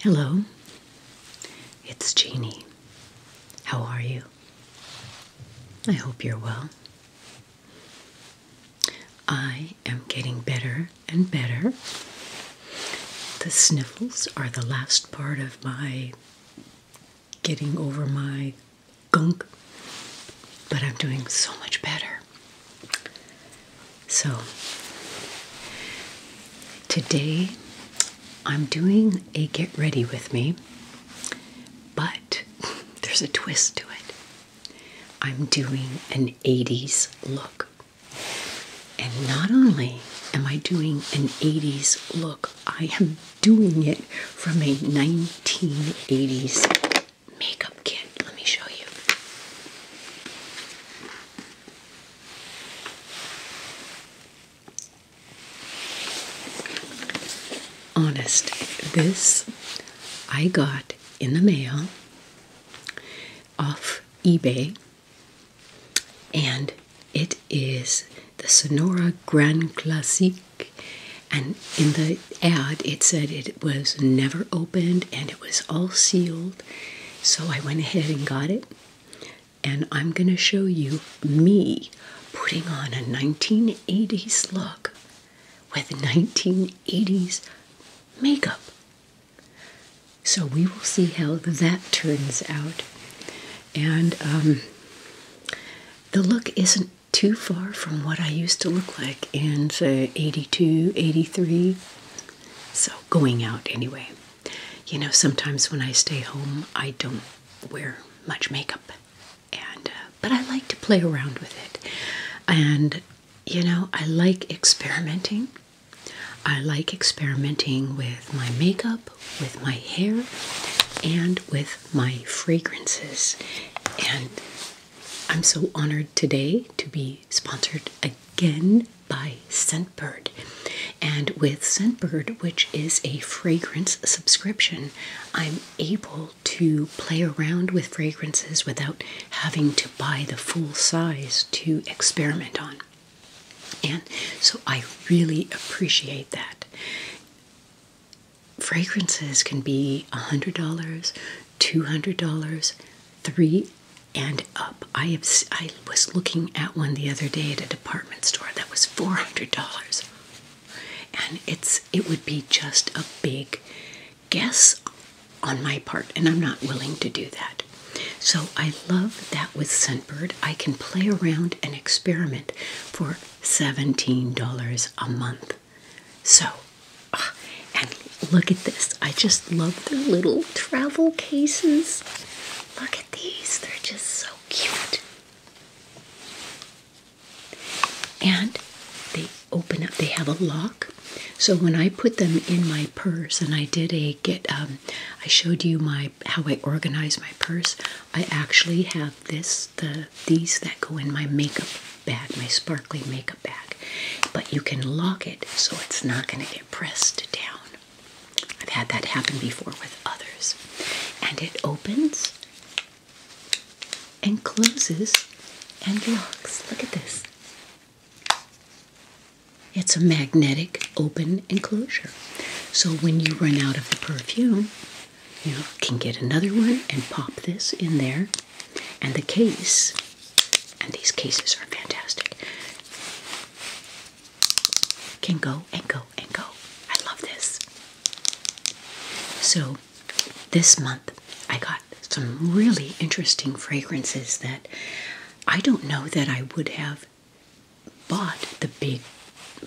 Hello, it's Jeannie. How are you? I hope you're well. I am getting better and better. The sniffles are the last part of my getting over my gunk, but I'm doing so much better. So, today I'm doing a get ready with me, but there's a twist to it. I'm doing an 80s look. And not only am I doing an 80s look, I am doing it from a 1980s makeup kit. Let me show you. Honest, this I got in the mail off eBay and it is the Sonora Grand Classic, And in the ad, it said it was never opened and it was all sealed. So I went ahead and got it. And I'm going to show you me putting on a 1980s look with 1980s makeup. So we will see how that turns out. And um, the look isn't too far from what I used to look like in, say, 82, 83. So going out anyway. You know, sometimes when I stay home, I don't wear much makeup. And, uh, but I like to play around with it. And, you know, I like experimenting. I like experimenting with my makeup with my hair and with my fragrances. And I'm so honored today to be sponsored again by Scentbird. And with Scentbird, which is a fragrance subscription, I'm able to play around with fragrances without having to buy the full size to experiment on. And so I really appreciate that. Fragrances can be $100, $200, three and up. I have I was looking at one the other day at a department store that was $400. And it's it would be just a big guess on my part and I'm not willing to do that. So I love that with Scentbird, I can play around and experiment for $17 a month. So, ah, and look at this. I just love their little travel cases. Look at these, they're just so cute. And they open up, they have a lock. So when I put them in my purse and I did a get um, I showed you my how I organize my purse. I actually have this the these that go in my makeup bag, my sparkly makeup bag, but you can lock it so it's not going to get pressed down. I've had that happen before with others, and it opens and closes and locks. Look at this. It's a magnetic open enclosure. So when you run out of the perfume, you can get another one and pop this in there. And the case, and these cases are fantastic, can go and go and go. I love this. So this month I got some really interesting fragrances that I don't know that I would have bought the big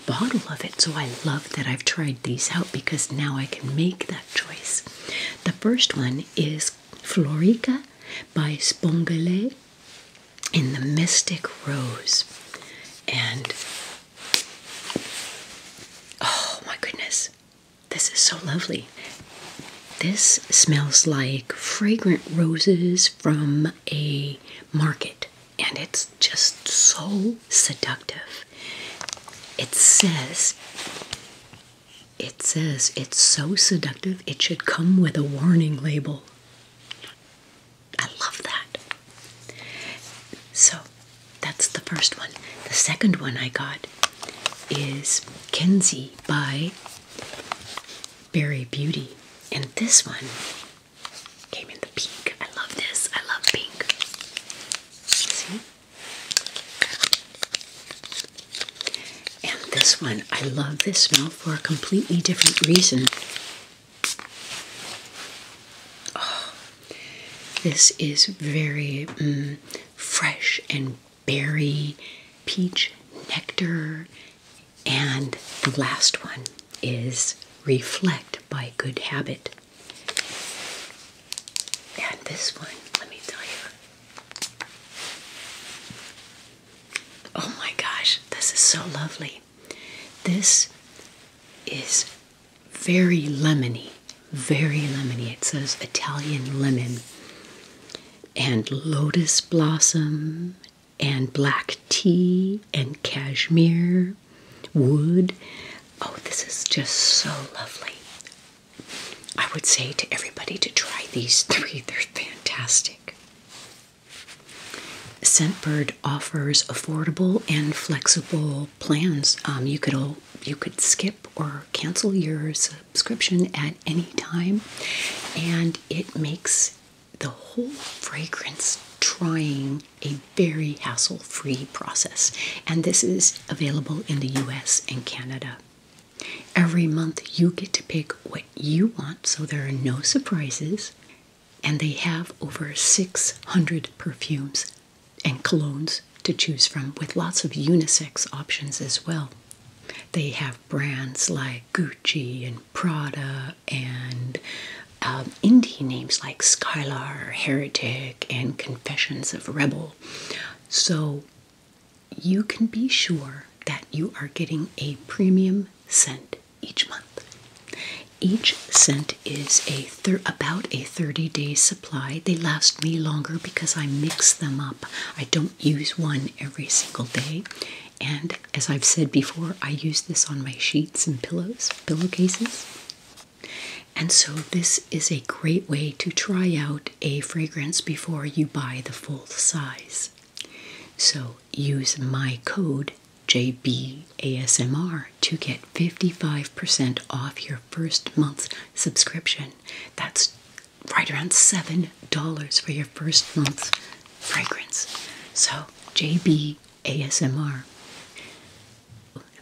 bottle of it. So I love that I've tried these out because now I can make that choice. The first one is Florica by Spongelay in the Mystic Rose. And oh my goodness, this is so lovely. This smells like fragrant roses from a market and it's just so seductive. It says it says it's so seductive it should come with a warning label. I love that. So that's the first one. The second one I got is Kenzie by Barry Beauty. And this one Came in the pink. I love this. I love pink. See? And this one, I love this smell for a completely different reason. Oh, this is very mm, fresh and berry, peach nectar, and the last one is Reflect by Good Habit. And this one, let me tell you. Oh my gosh, this is so lovely. This is very lemony, very lemony. It says Italian lemon and lotus blossom and black tea and cashmere wood. Oh, this is just so lovely. I would say to everybody to try these three, they're fantastic. Scentbird offers affordable and flexible plans. Um, you could you could skip or cancel your subscription at any time, and it makes the whole fragrance trying a very hassle free process. And this is available in the US and Canada. Every month you get to pick what you want, so there are no surprises. And they have over 600 perfumes and colognes to choose from, with lots of unisex options as well. They have brands like Gucci and Prada and um, indie names like Skylar, Heretic, and Confessions of Rebel. So you can be sure that you are getting a premium scent each month. Each scent is a about a 30 day supply. They last me longer because I mix them up. I don't use one every single day. And as I've said before, I use this on my sheets and pillows, pillowcases. And so, this is a great way to try out a fragrance before you buy the full size. So, use my code JBASMR to get 55% off your first month's subscription. That's right around $7 for your first month's fragrance. So, JB ASMR.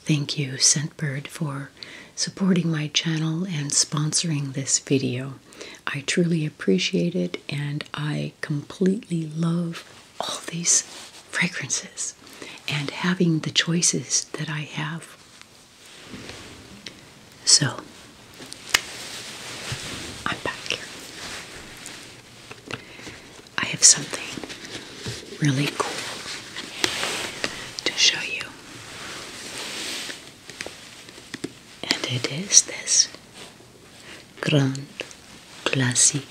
Thank you, Scentbird, for supporting my channel and sponsoring this video. I truly appreciate it and I completely love all these fragrances and having the choices that I have. So, I'm back here. I have something really cool to show you. And it is this Grand Classic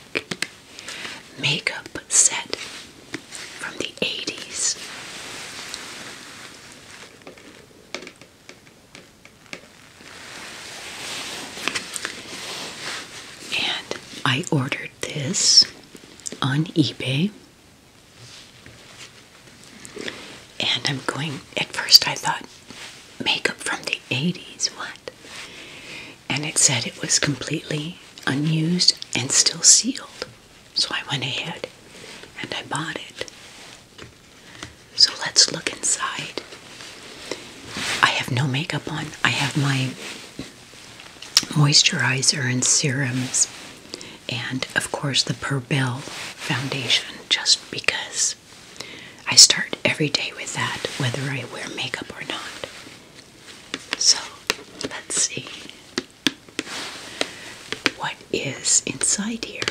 makeup set from the 80s. And I ordered this on eBay. And I'm going, at first I thought, makeup from the 80s, what? And it said it was completely unused and still sealed. So I went ahead and I bought it. So let's look inside. I have no makeup on. I have my moisturizer and serums, and of course, the Perbel foundation, just because I start every day with that, whether I wear makeup or not. So let's see what is inside here.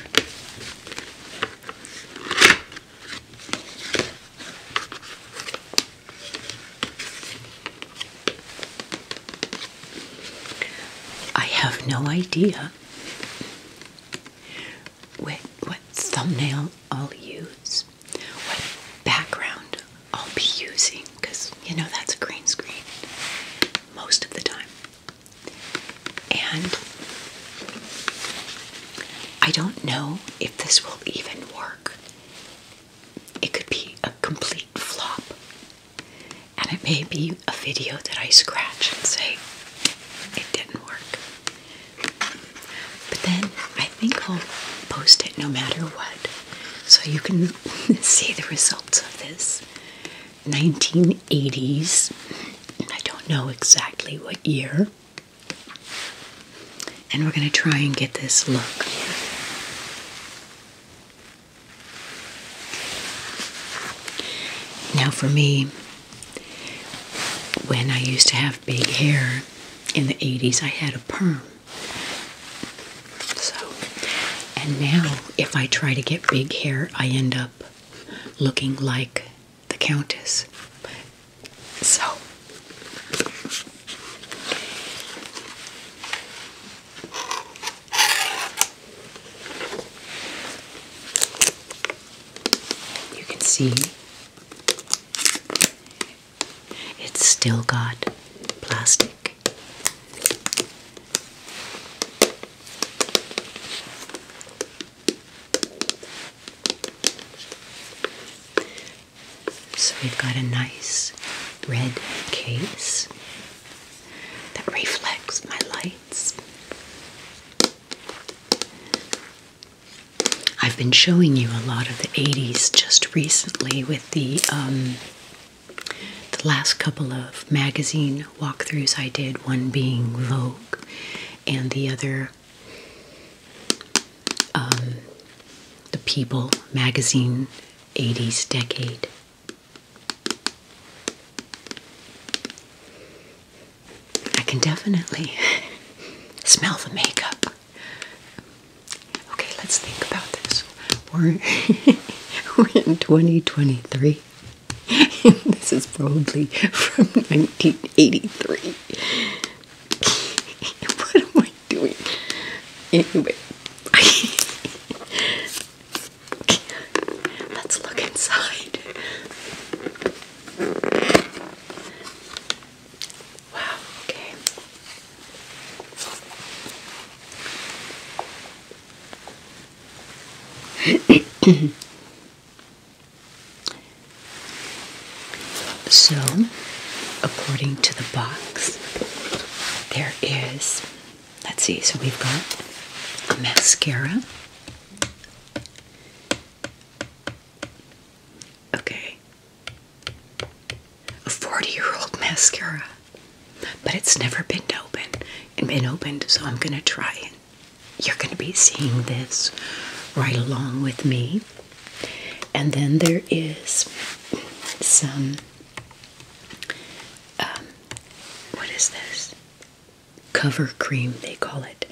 I have no idea what, what thumbnail I'll use, what background I'll be using, because you know that's a green screen most of the time. And I don't know if this will even work. It could be a complete flop. And it may be a video that I scratch and say, it didn't work. But then I think I'll post it no matter what. So you can see the results of this 1980s. I don't know exactly what year. And we're going to try and get this look. Now, for me, when I used to have big hair in the 80s, I had a perm. So, and now if I try to get big hair, I end up looking like the Countess. So, you can see it's still got plastic. So we've got a nice red case that reflects my lights. I've been showing you a lot of the 80s just recently with the um, the last couple of magazine walkthroughs I did, one being Vogue and the other um, the People magazine, 80s decade. I can definitely smell the makeup. Okay, let's think about this. we we're in 2023. this is probably from 19 83. what am I doing? Anyway, let's look inside. Wow, okay. So, according to the box, there is, let's see, so we've got a mascara. Okay. A 40 year old mascara. But it's never been opened and been opened, so I'm gonna try it you're going to be seeing this right along with me. And then there is some, um, what is this? Cover cream, they call it,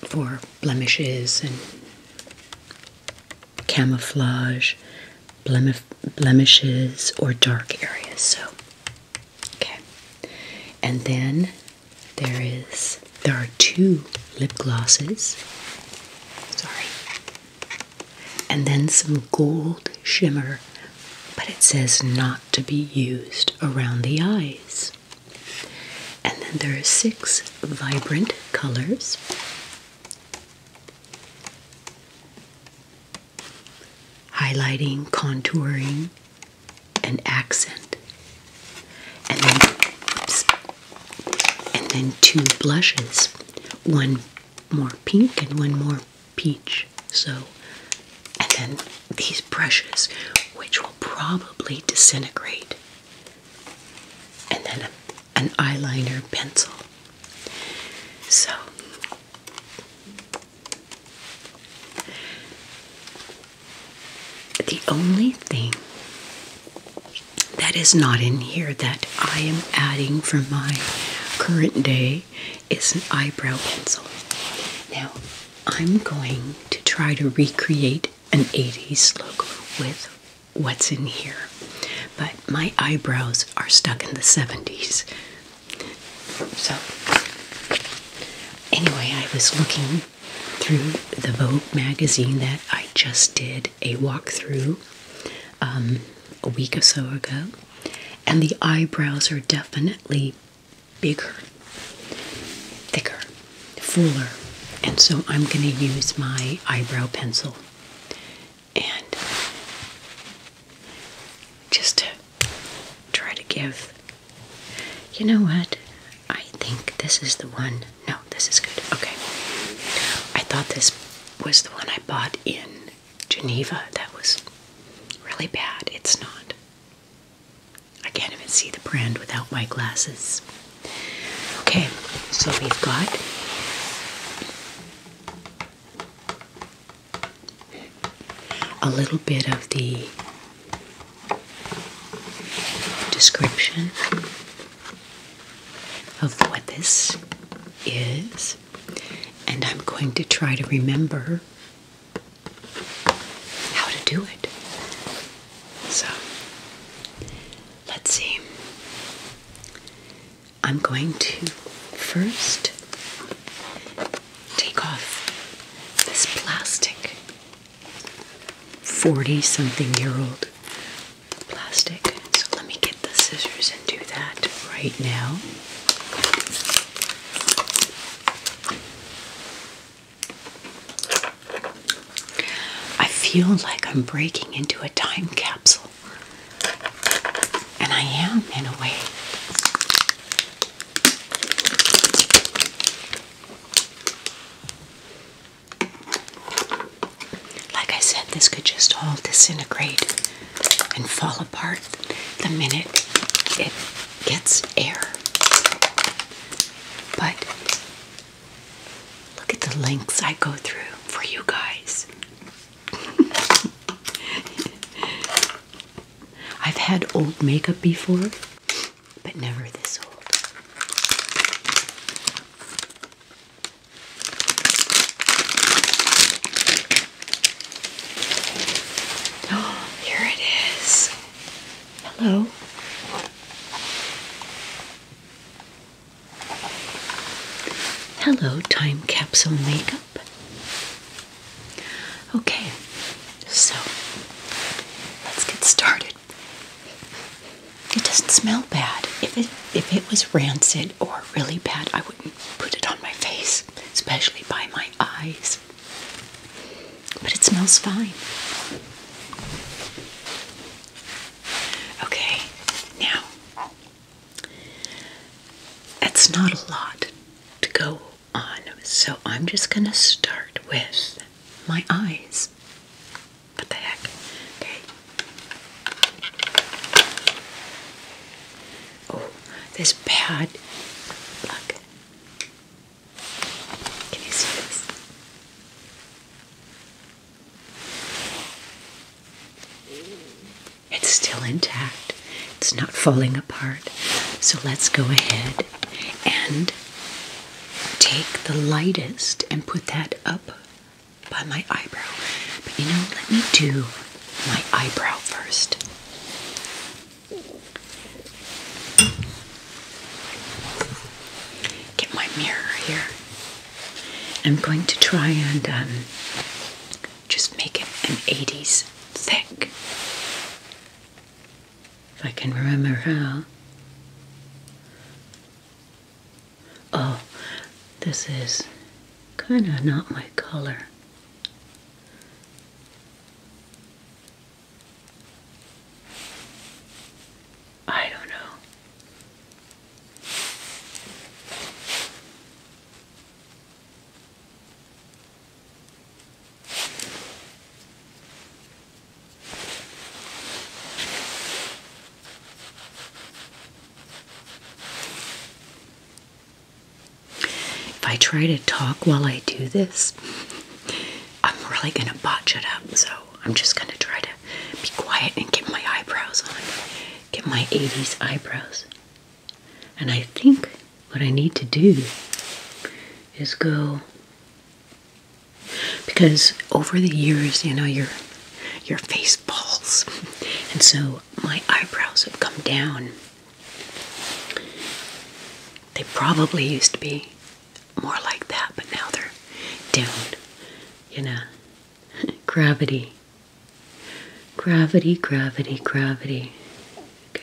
for blemishes and camouflage, blem blemishes, or dark areas. So, okay. And then there is there are two lip glosses. Sorry. And then some gold shimmer, but it says not to be used around the eyes. And then there are six vibrant colors. Highlighting, contouring, an accent, and then and then two blushes, one more pink and one more peach. So, and then these brushes, which will probably disintegrate, and then an eyeliner pencil. So the only thing that is not in here that I am adding for my current day is an eyebrow pencil. Now, I'm going to try to recreate an 80s look with what's in here, but my eyebrows are stuck in the 70s. So, anyway, I was looking through the Vogue magazine that I just did a walkthrough um, a week or so ago, and the eyebrows are definitely bigger, thicker, fuller, and so I'm going to use my eyebrow pencil and just to try to give you know what? I think this is the one. No, this is good. Okay. I thought this was the one I bought in Geneva. That was really bad. It's not. I can't even see the brand without my glasses. Okay, so we've got a little bit of the description of what this is, and I'm going to try to remember how to do it. So, let's see. I'm going to first take off this plastic 40 something year old plastic. So let me get the scissors and do that right now. I feel like I'm breaking into a time capsule. And I am, in a way. Like I said, this could just all disintegrate and fall apart the minute it gets air. But look at the lengths I go through for you guys. I've had old makeup before but never this old. Oh, here it is. Hello. Hello, time capsule makeup. Okay, so let's get started. It doesn't smell bad. If it if it was rancid or really bad, I wouldn't put it on my face, especially by my eyes. But it smells fine. Okay, now that's not a lot to go so I'm just going to start with my eyes. What the heck? Okay. Oh, this pad. Look. Can you see this? It's still intact. It's not falling apart. So let's go ahead and take the lightest and put that up by my eyebrow. But you know, let me do my eyebrow first. Get my mirror here. I'm going to try and um, just make it an 80s thick if I can remember how. Oh, this is kind of not my color. I don't know. If I try to talk while I do this, I'm really going to botch it up, so I'm just going to try to be quiet and get my eyebrows on. Get my 80s eyebrows. And I think what I need to do is go because over the years, you know, your your face falls, and so my eyebrows have come down. They probably used to be more like that, but now they're down. You know, gravity, gravity, gravity, gravity. Okay.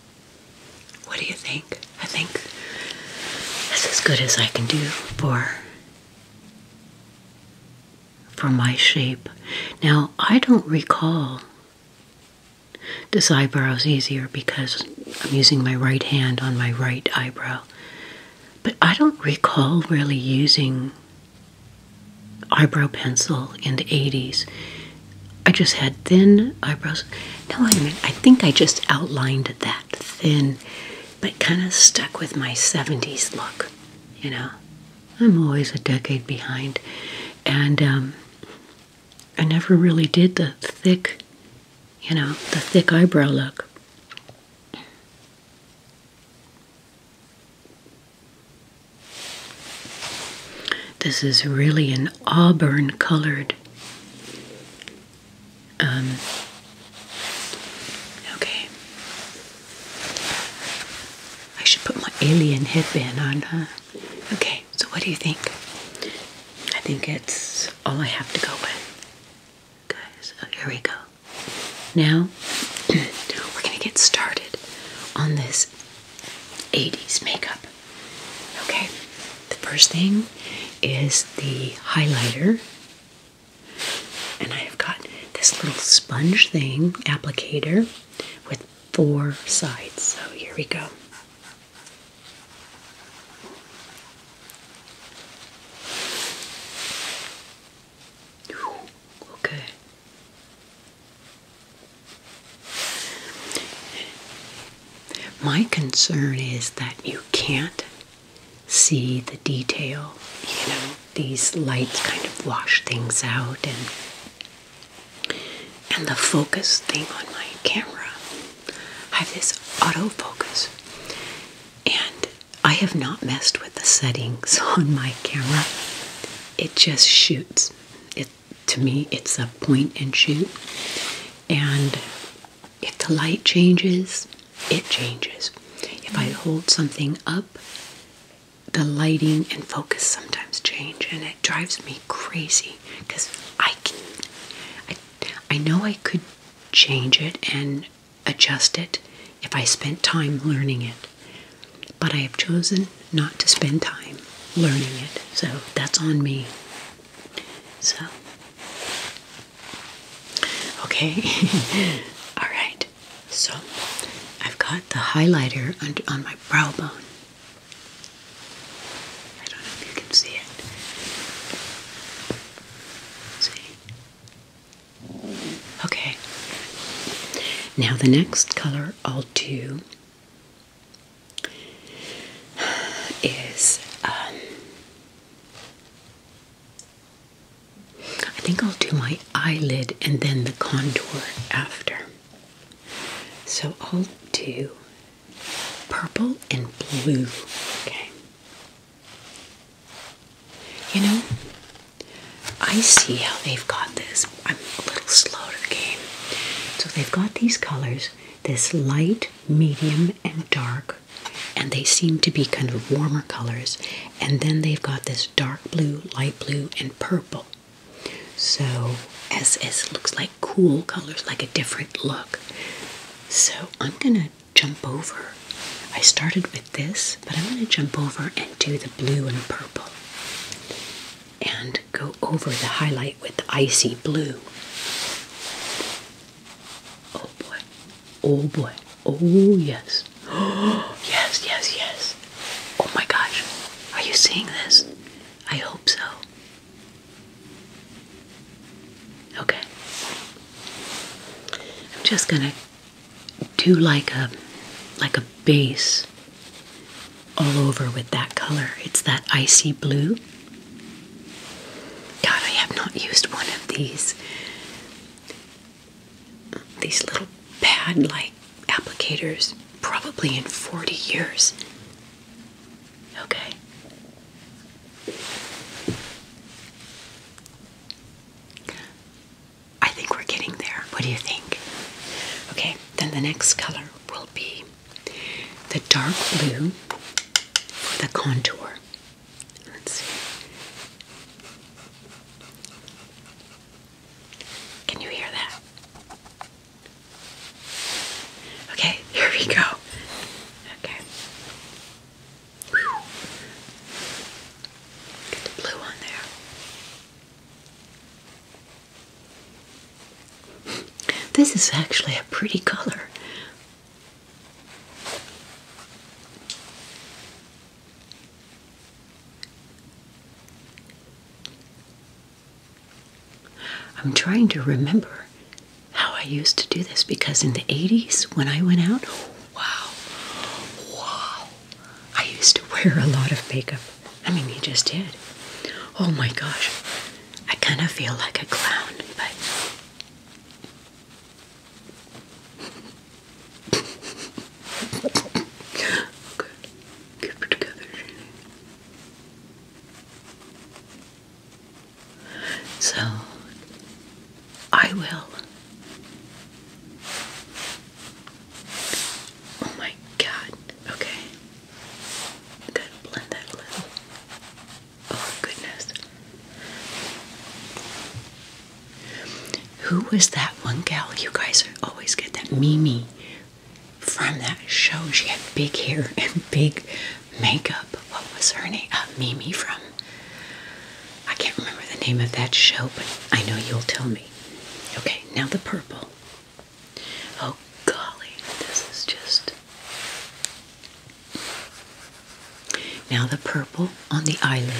What do you think? I think that's as good as I can do for for my shape. Now, I don't recall this eyebrow is easier because I'm using my right hand on my right eyebrow. But I don't recall really using eyebrow pencil in the 80s. I just had thin eyebrows. No, wait a I think I just outlined that thin, but kind of stuck with my 70s look. You know, I'm always a decade behind. And um, I never really did the thick, you know, the thick eyebrow look. This is really an auburn colored. Um, okay. I should put my alien headband on, huh? Okay, so what do you think? I think it's all I have to go with. Okay, oh, so here we go. Now, we're going to get started on this 80s makeup. Okay, the first thing is the highlighter. And I have got this little sponge thing applicator with four sides. So here we go. Okay. My concern is that you can't see the detail. You know, these lights kind of wash things out and and the focus thing on my camera. I have this autofocus. And I have not messed with the settings on my camera. It just shoots. It to me, it's a point and shoot. And if the light changes, it changes. If I hold something up, the lighting and focus sometimes change, and it drives me crazy because I I, I know I could change it and adjust it if I spent time learning it, but I have chosen not to spend time learning it. So that's on me. So, okay. All right. So, I've got the highlighter on, on my brow bone. I don't know if you can see it. See? Okay. Now, the next color I'll do is um, I think I'll do my eyelid and then the contour after. So I'll do purple and blue. Okay. You know, I see how they've got this. I'm a little slow to the game. So they've got these colors this light, medium, and dark, and they seem to be kind of warmer colors. And then they've got this dark blue, light blue, and purple. So, SS looks like cool colors, like a different look. So, I'm gonna jump over. I started with this, but I'm gonna jump over and do the blue and purple and go over the highlight with icy blue. Oh boy. Oh boy. Oh yes. yes, yes, yes. Oh my gosh. Are you seeing this? I hope so. Okay. I'm just going to do like a like a base all over with that color. It's that icy blue. God, I have not used one of these these little pad-like applicators probably in 40 years. Okay. I think we're getting there. What do you think? Okay, then the next color will be the dark blue for the contour. Let's see. Can you hear that? Okay, here we go. Okay. Get the blue on there. This is actually a pretty color. I'm trying to remember how I used to do this because in the 80s when I went out, oh, wow, wow, I used to wear a lot of makeup. I mean, you just did. Oh my gosh. I kind of feel like a clown, but. okay. Keep it together, So, I will. Oh my god. Okay. Gotta blend that glue. Oh, goodness. Who was that one gal? You guys always get that Mimi from that show. She had big hair and big makeup. What was her name? Uh, Mimi from. I can't remember the name of that show, but I know you'll tell me. Okay, now the purple. Oh golly, this is just. Now the purple on the eyelid.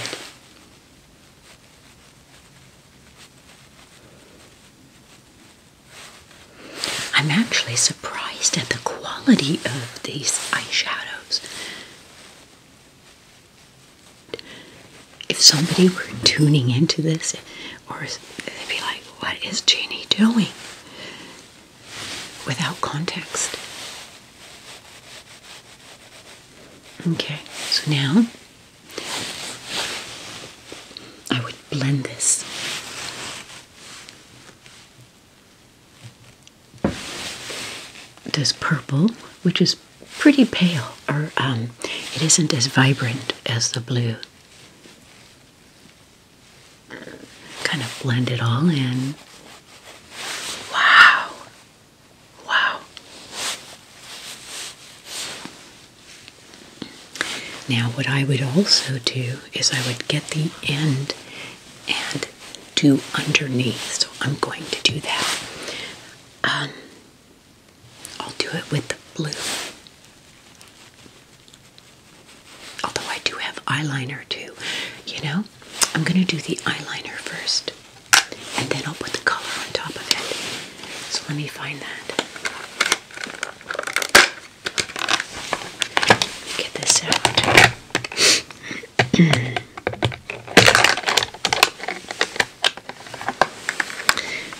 I'm actually surprised at the quality of these eyeshadows. If somebody were tuning into this, or they'd be like, what is Jeannie doing? Without context. Okay, so now I would blend this. This purple, which is pretty pale, or um, it isn't as vibrant as the blue. Kind of blend it all in. Wow. Wow. Now, what I would also do is I would get the end and do underneath. So I'm going to do that. Um, I'll do it with the blue. Although I do have eyeliner too, you know? I'm gonna do the eyeliner first and then I'll put the color on top of it. So let me find that. get this out.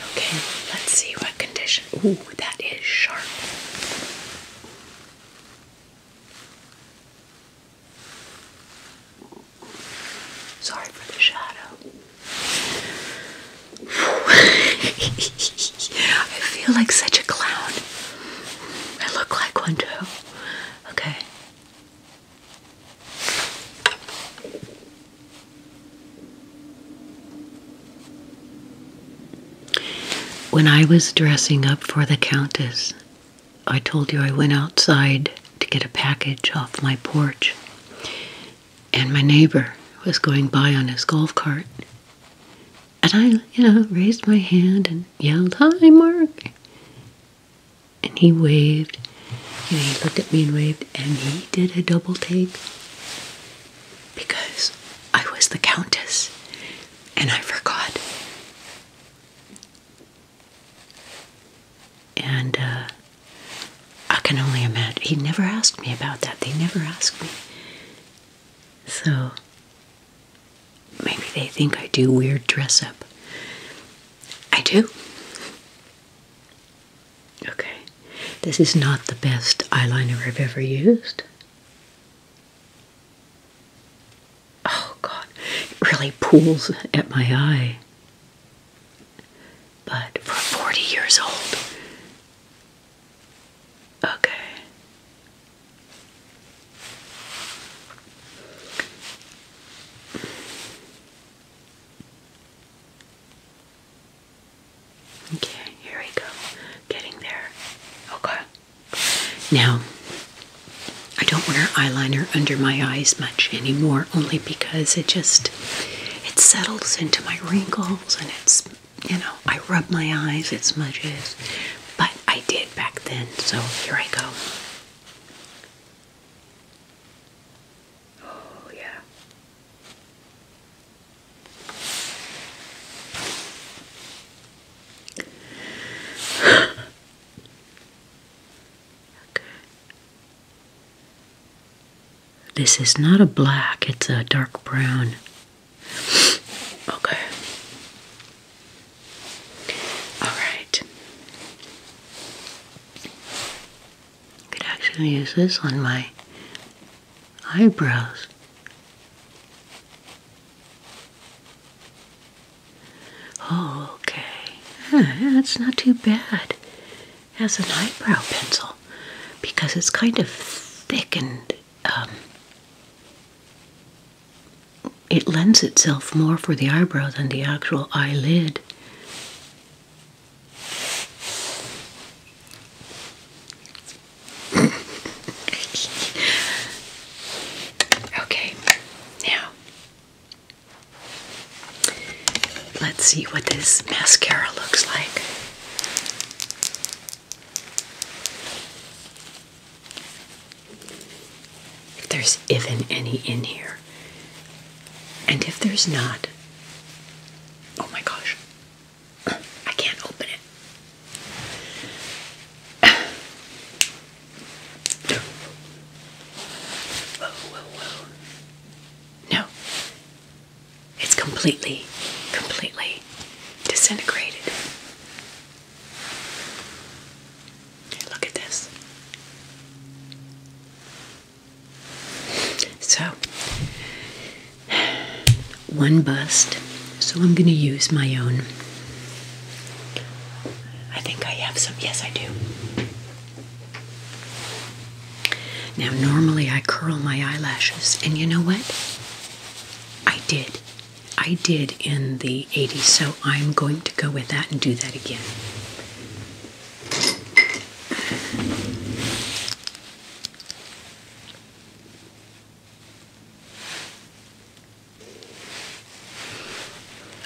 okay, let's see what condition that is sharp. Sorry for the shadow. I feel like such a clown. I look like one too. Okay. When I was dressing up for the Countess, I told you I went outside to get a package off my porch, and my neighbor was going by on his golf cart. And I, you know, raised my hand and yelled, Hi, Mark. And he waved, and he looked at me and waved, and he did a double take because I was the Countess and I forgot. And uh, I can only imagine. He never asked me about that. They never asked me. So maybe they think I do weird dress up. I do. Okay, this is not the best eyeliner I've ever used. Oh God, it really pools at my eye. But for 40 years old, okay. Okay, here we go. Getting there. Okay. Now, I don't wear eyeliner under my eyes much anymore, only because it just it settles into my wrinkles and it's you know I rub my eyes, it smudges. But I did back then, so here I go. Oh yeah. This is not a black, it's a dark brown. Okay. All right. Could actually use this on my eyebrows. okay. that's not too bad Has an eyebrow pencil because it's kind of thick and um, it lends itself more for the eyebrow than the actual eyelid okay, now let's see what this mascara looks like. If there's even any in here. And if there's not, oh my gosh, I can't open it. No. It's completely, completely disintegrated. Look at this. So, one bust, so I'm going to use my own. I think I have some. Yes, I do. Now, normally I curl my eyelashes, and you know what? I did. I did in the 80s, so I'm going to go with that and do that again.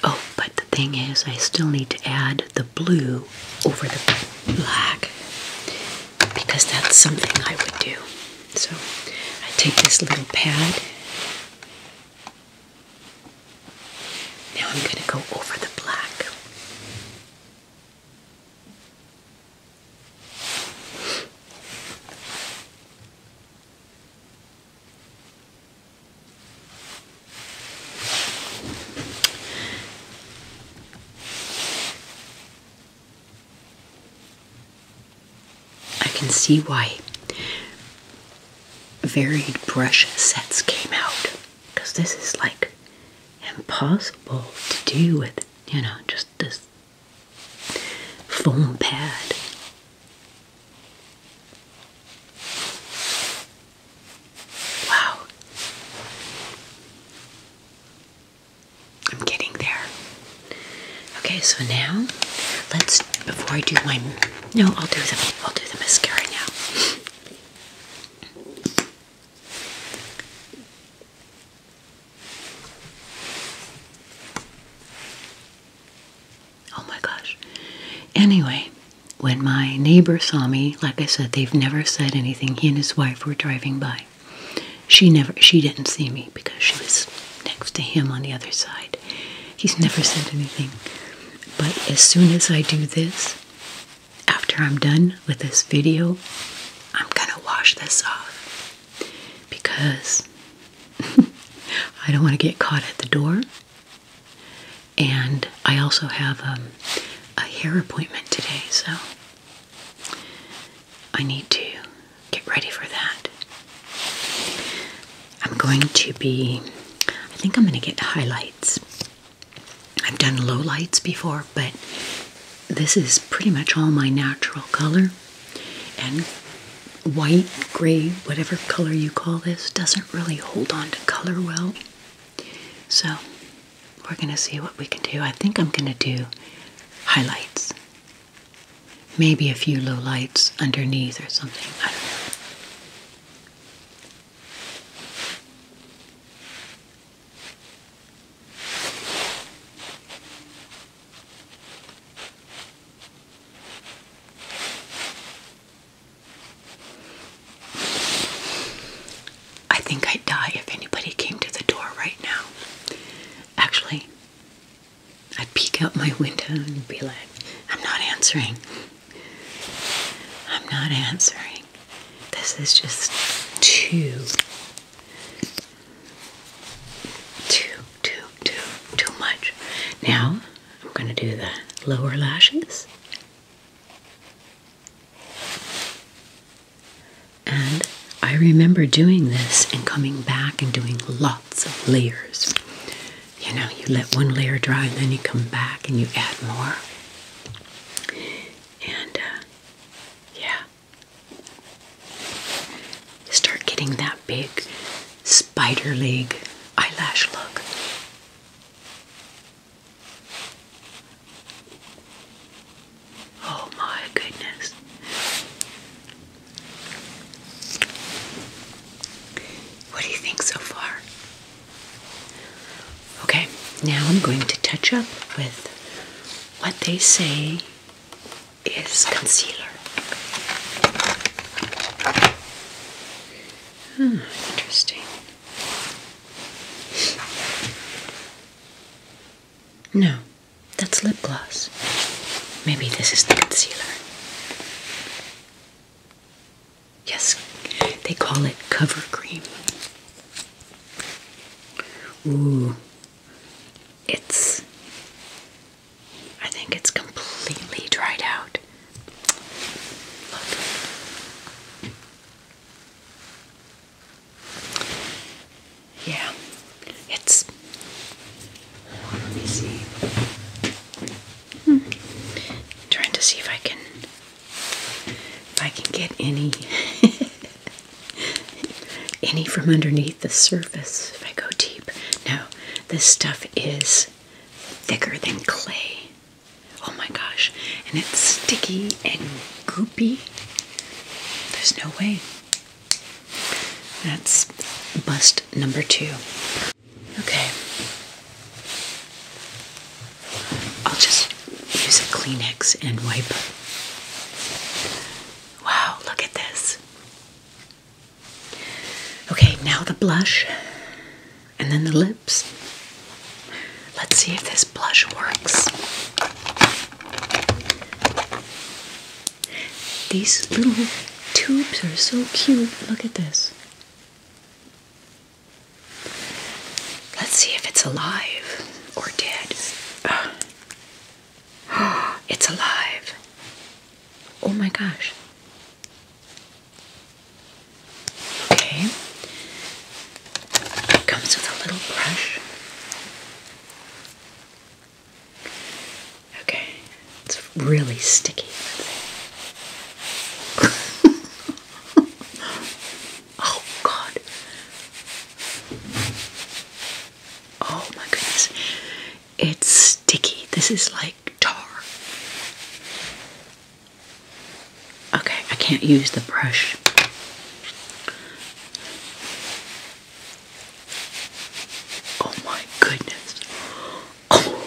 Oh, but the thing is, I still need to add the blue over the black because that's something I would do. So I take this little pad. Now I'm going to go over the black. I can see why varied brush sets came out because this is like impossible to do with you know, just this foam pad. Wow. I'm getting there. Okay, so now let's before I do my no, I'll do the I'll do the mascara now. Oh my gosh. Anyway, when my neighbor saw me, like I said, they've never said anything. He and his wife were driving by. She never she didn't see me because she was next to him on the other side. He's never said anything. But as soon as I do this, after I'm done with this video, I'm gonna wash this off because I don't want to get caught at the door. And I also have um, a hair appointment today, so I need to get ready for that. I'm going to be, I think I'm going to get highlights. I've done low lights before, but this is pretty much all my natural color. And white, gray, whatever color you call this, doesn't really hold on to color well. So we're going to see what we can do. I think I'm going to do highlights. Maybe a few low lights underneath or something. I think I'd die if anybody came to the door right now. Actually, I'd peek out my window and be like, I'm not answering. I'm not answering. This is just too too, too, too, too much. Now I'm going to do the lower lashes and I remember doing this and coming back and doing lots of layers. You know, you let one layer dry and then you come back and you add more. And uh, yeah, start getting that big spider leg eyelash look. Oh my goodness. What do you think so far? Okay, now I'm going to touch up with what they say is concealer. Hmm, interesting. No, that's lip gloss. Maybe this is the concealer. Yes, they call it cover cream. Ooh, it's I think it's completely dried out. Look. Yeah, it's. Let me see. Hmm. Trying to see if I can, if I can get any any from underneath the surface if I go deep. No, this stuff is thicker than clay. Oh my gosh, and it's sticky and goopy. There's no way. That's bust number two. Okay. I'll just use a Kleenex and wipe. Wow, look at this. Okay, now the blush and then the lips. Let's see if this blush works. These little tubes are so cute. Look at this. Let's see if it's alive or dead. it's alive. Oh my gosh. Okay. comes with a little brush. Okay. It's really sticky. Oh God. Oh my goodness. It's sticky. This is like tar. Okay, I can't use the brush. Oh my goodness. Oh.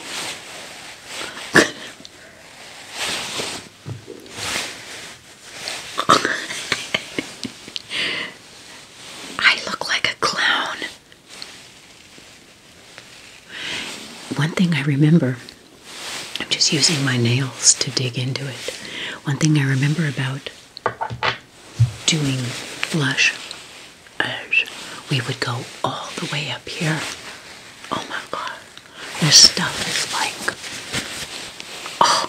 I look like a clown. One thing I remember, I'm just using my nails to dig into it. One thing I remember about doing blush we would go all the way up here. Oh my god, this stuff is like, oh,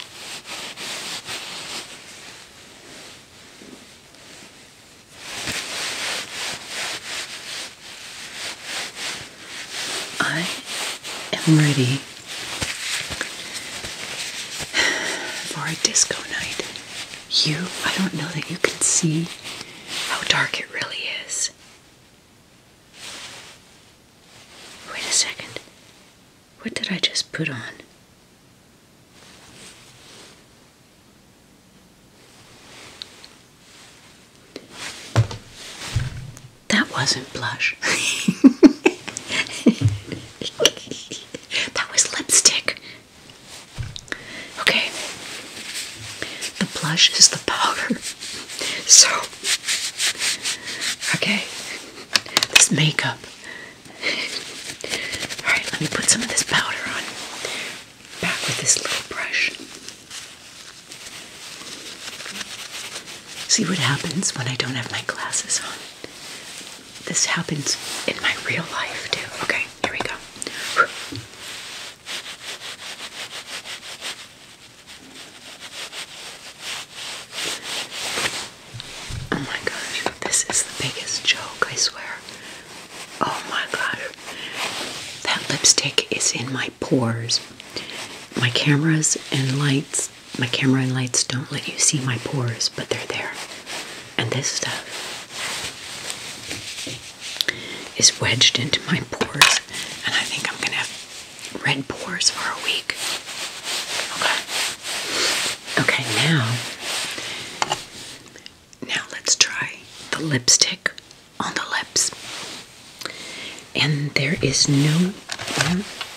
I am ready for a disco night. You, I don't know that you can see how dark it really is. Wait a second. What did I just put on? That wasn't blush. that was lipstick. Okay. The blush is the powder. So, okay this makeup. Alright, let me put some of this powder on. Back with this little brush. See what happens when I don't have my glasses on. This happens in my real life too. Okay, here we go. Oh my gosh, this is the biggest joke, I swear. Oh my gosh. That lipstick is in my pores. My cameras and lights, my camera and lights don't let you see my pores, but they're there. And this stuff is wedged into my pores, and I think I'm gonna have red pores for a week. Okay. Okay, now. Now let's try the lipstick on the lips. And there is no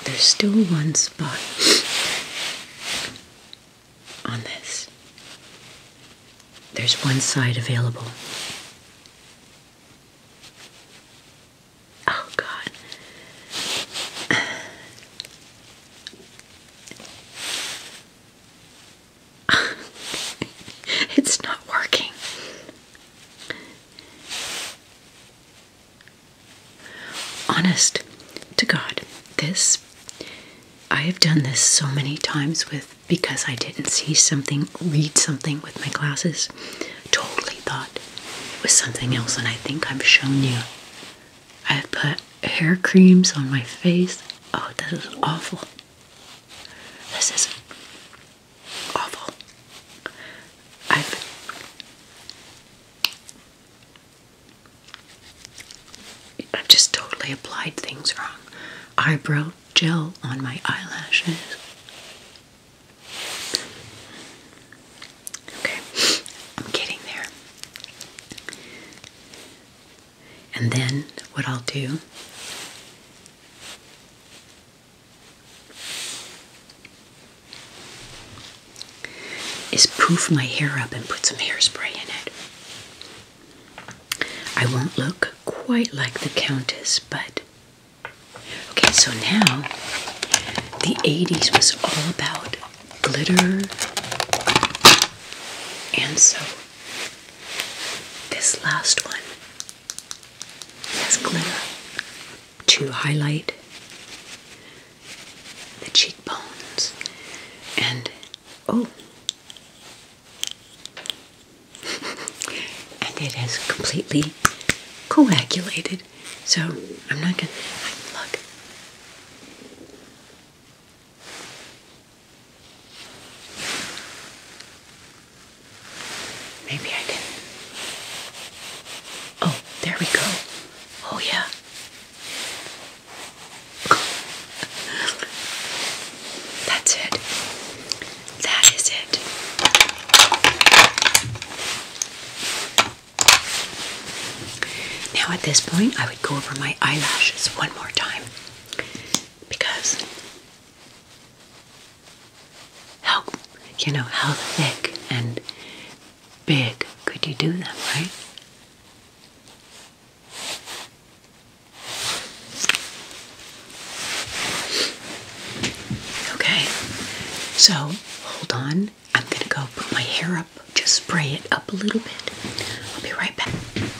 there's still one spot on this. There's one side available. Oh god. it's not working. Honest to God, this I have done this so many times with because I didn't see something, read something with my glasses totally thought it was something else, and I think I've shown you. I have put hair creams on my face. Oh, this is awful. This is awful. I've I've just totally applied things wrong. Eyebrow gel on my eyelashes. Okay, I'm getting there. And then what I'll do is poof my hair up and put some hairspray in it. I won't look quite like the Countess, but Okay, so now the 80s was all about glitter. And so this last one has glitter to highlight the cheekbones and oh and it has completely coagulated so I'm not gonna look. Maybe I can. Oh, there we go. Oh, yeah. That's it. That is it. Now, at this point, I would go over my eyelashes one more time because how you know how thick and big could you do them, right? Okay, so hold on I'm gonna go put my hair up, just spray it up a little bit. I'll be right back.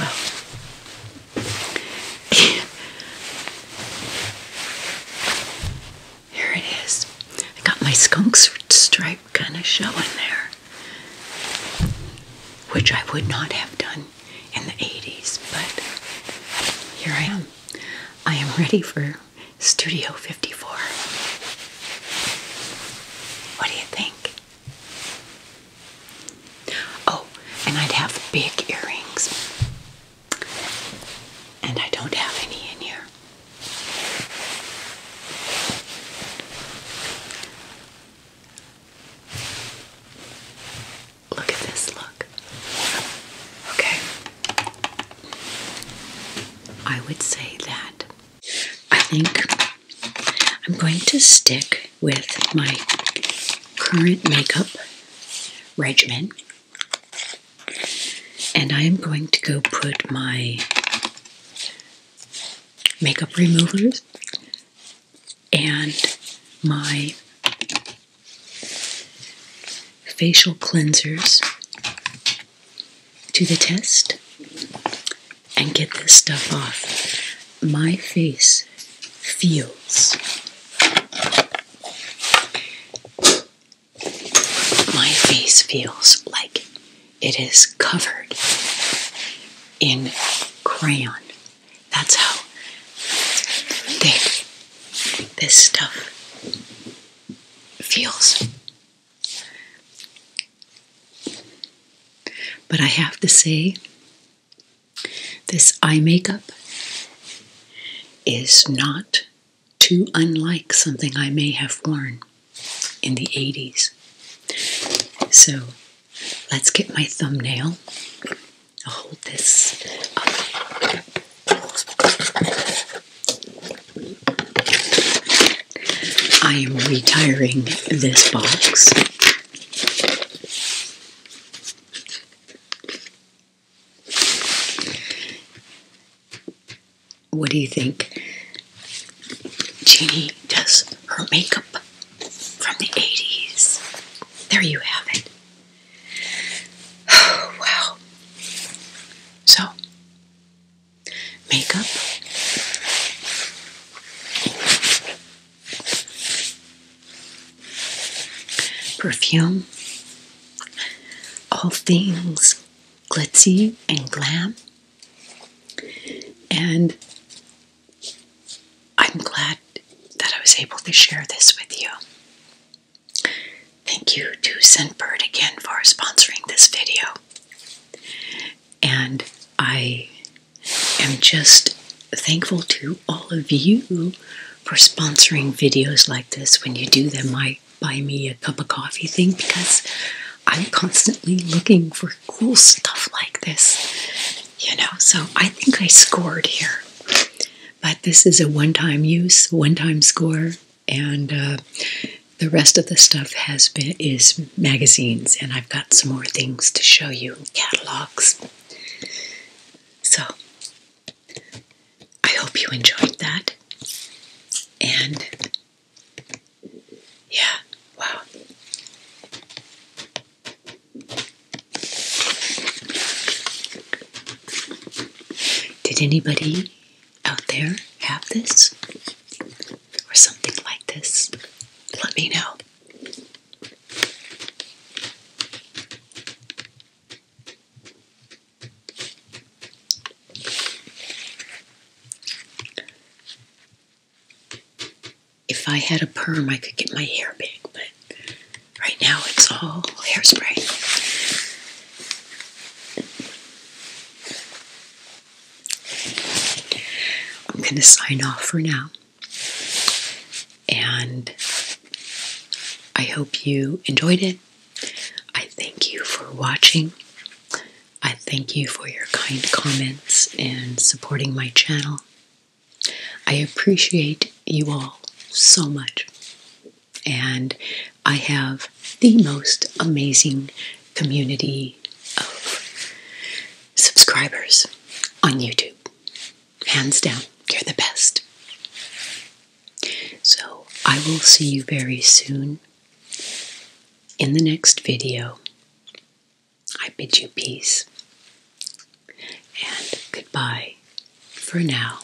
Well, here it is. I got my skunk stripe kind of showing there, which I would not have done in the 80s, but here I am. I am ready for Studio 54. What do you think? Oh, and I'd have big earrings. And I don't have any in here. Look at this look. Okay. I would say that I think I'm going to stick with my current makeup regimen. And I am going to go put my makeup removers and my facial cleansers to the test and get this stuff off. My face feels. My face feels like it is covered in crayon. That's how thick this stuff feels. But I have to say, this eye makeup is not too unlike something I may have worn in the 80s. So let's get my thumbnail. I'll hold this I am retiring this box. What do you think? Jeannie does her makeup from the 80s. There you have it. wow. So, makeup. Perfume, all things glitzy and glam, and I'm glad that I was able to share this with you. Thank you to Scentbird again for sponsoring this video. And I am just thankful to all of you for sponsoring videos like this when you do them. I buy me a cup of coffee thing because I'm constantly looking for cool stuff like this. You know, so I think I scored here. But this is a one time use, one time score, and uh, the rest of the stuff has been is magazines, and I've got some more things to show you catalogs. So I hope you enjoyed that. And yeah, wow. Did anybody out there have this? or something like this, let me know. If I had a perm, I could get my hair big, but right now it's all hairspray. I'm going to sign off for now. And I hope you enjoyed it. I thank you for watching. I thank you for your kind comments and supporting my channel. I appreciate you all so much. And I have the most amazing community of subscribers on YouTube. Hands down, you're the best. So, I will see you very soon in the next video. I bid you peace and goodbye for now.